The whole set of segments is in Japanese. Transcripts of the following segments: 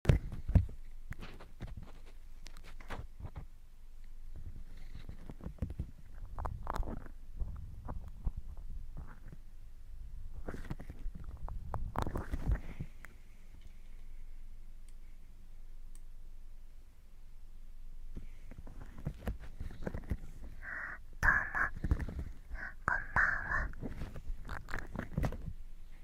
どうもこんばんは。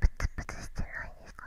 プツプツしてないですか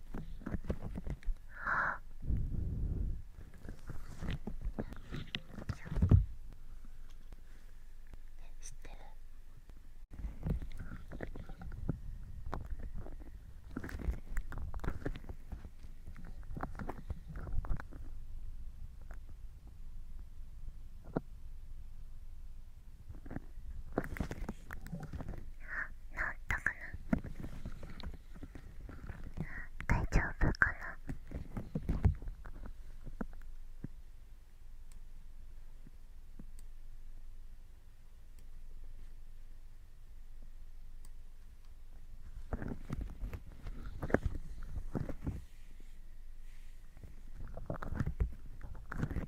知ってるったかな大丈夫かな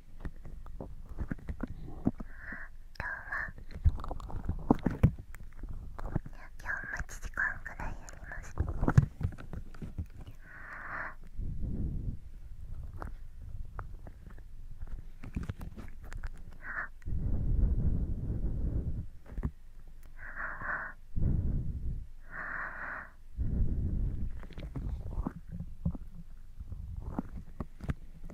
今日は。1時間くらいやりましたあ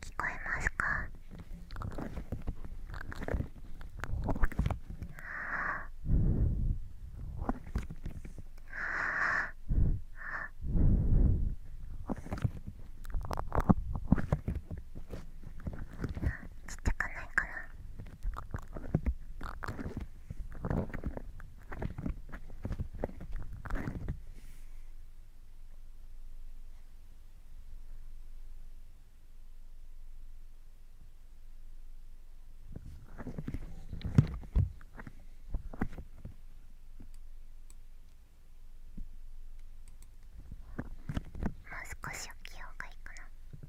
聞こえますかちっちゃくないかな。少し起きようがいいかな。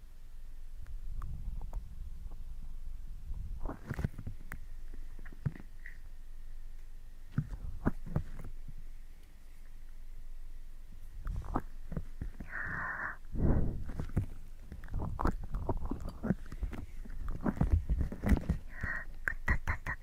肩たたき。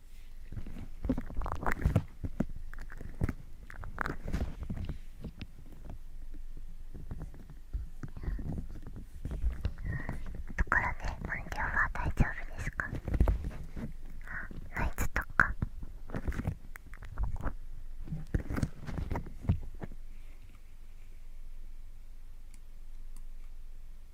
ところで満量は大丈夫ですかあノイツとか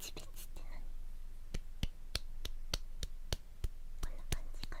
チピチって何こんな感じかな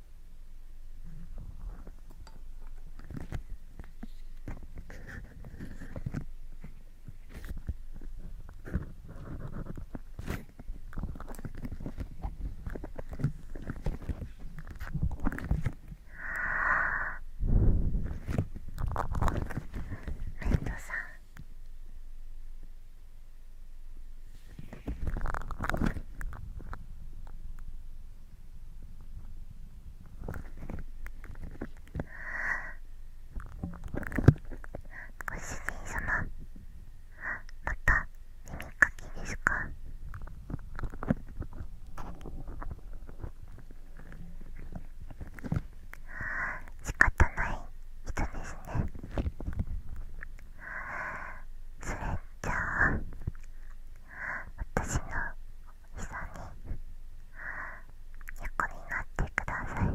レッドさんご主人様また耳かきですか仕方ない人ですねそれじゃあ私の膝に横になってください。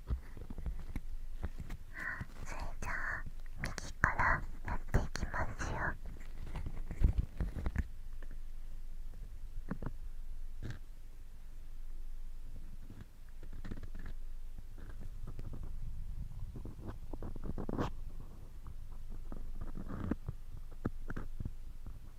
それじゃあ右からやっていきますよはい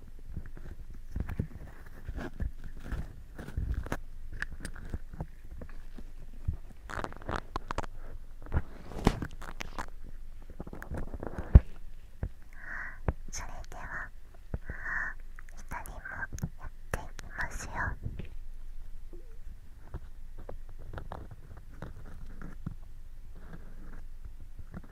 それでは2人もやっていきますよ。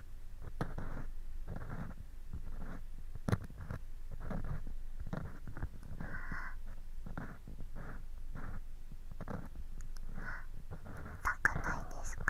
くないですか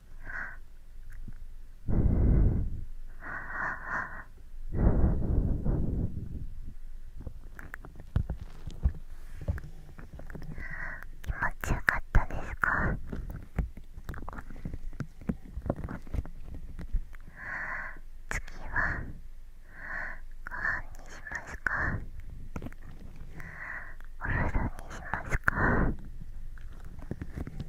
は気持ちよかったですか次はご飯にしますかお風呂にしますか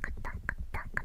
くたくたく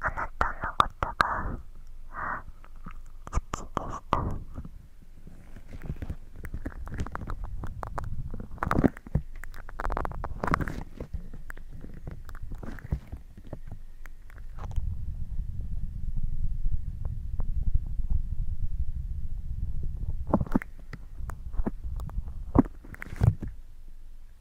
あなたのことが好きでした「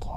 パー。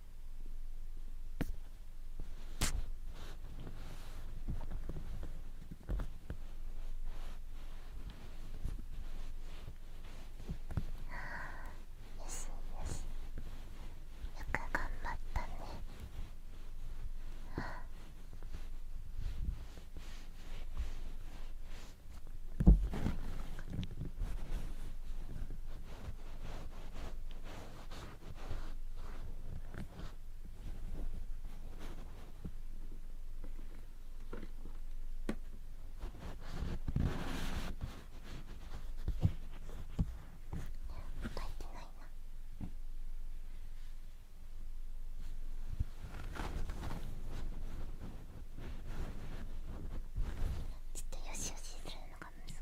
あよしよしよく頑張ったねあ叩いてないな。ちょっとよしよしするのがが難しい。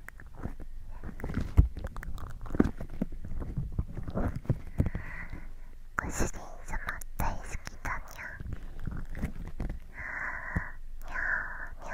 ご主人様大好きだにゃにゃにゃ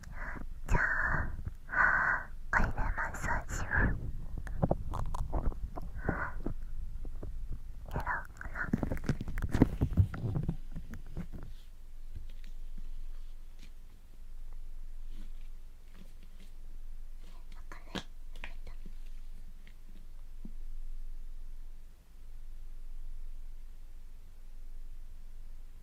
じゃあおいでマッサージをやろうかなあ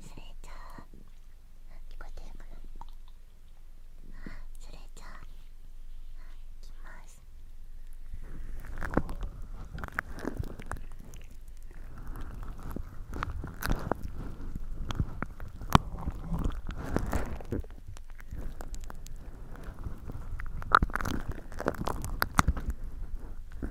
それじゃあ聞こえてるかなそれじゃあいきます「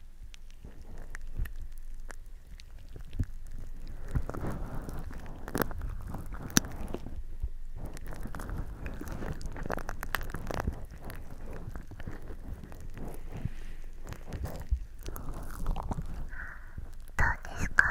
ですか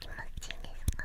気持ちいいですか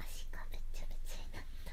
足がべちゃべちゃになった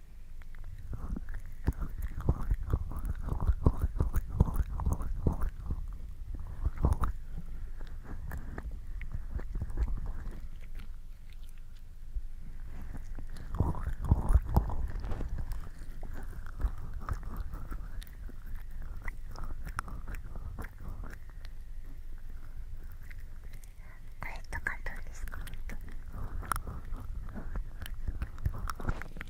あれ痛かったんですか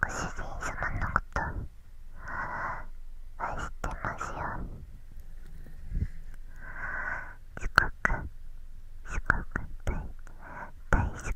ご主人様のこと愛してますよすごくすごく大好きです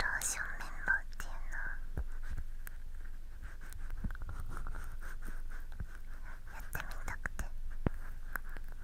ローション綿棒っていうのやってみたくて。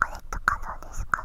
あれって可能ですか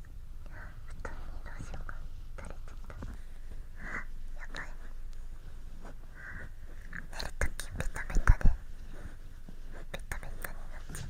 布団にどうしようか垂れてたやばい寝るときベタベタでベタベタになっちゃう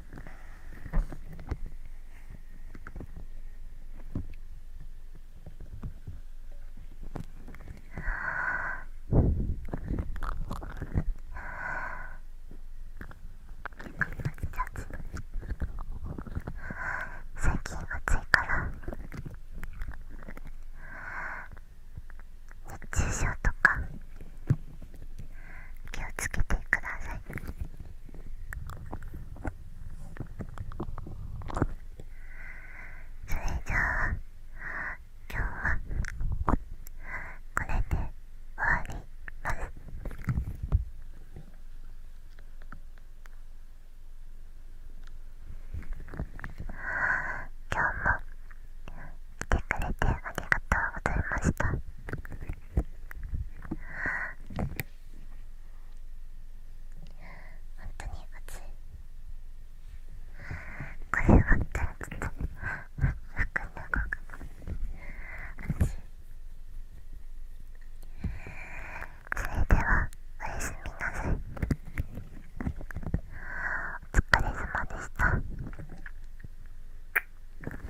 最近暑いから熱中症とか気をつけてくださいそれじゃあ今日はこれで終わります今日も来てくれてありがとうございました。本当に熱いこれは、わったらちょっと楽うかそれではおやすみなさいお疲れ様でした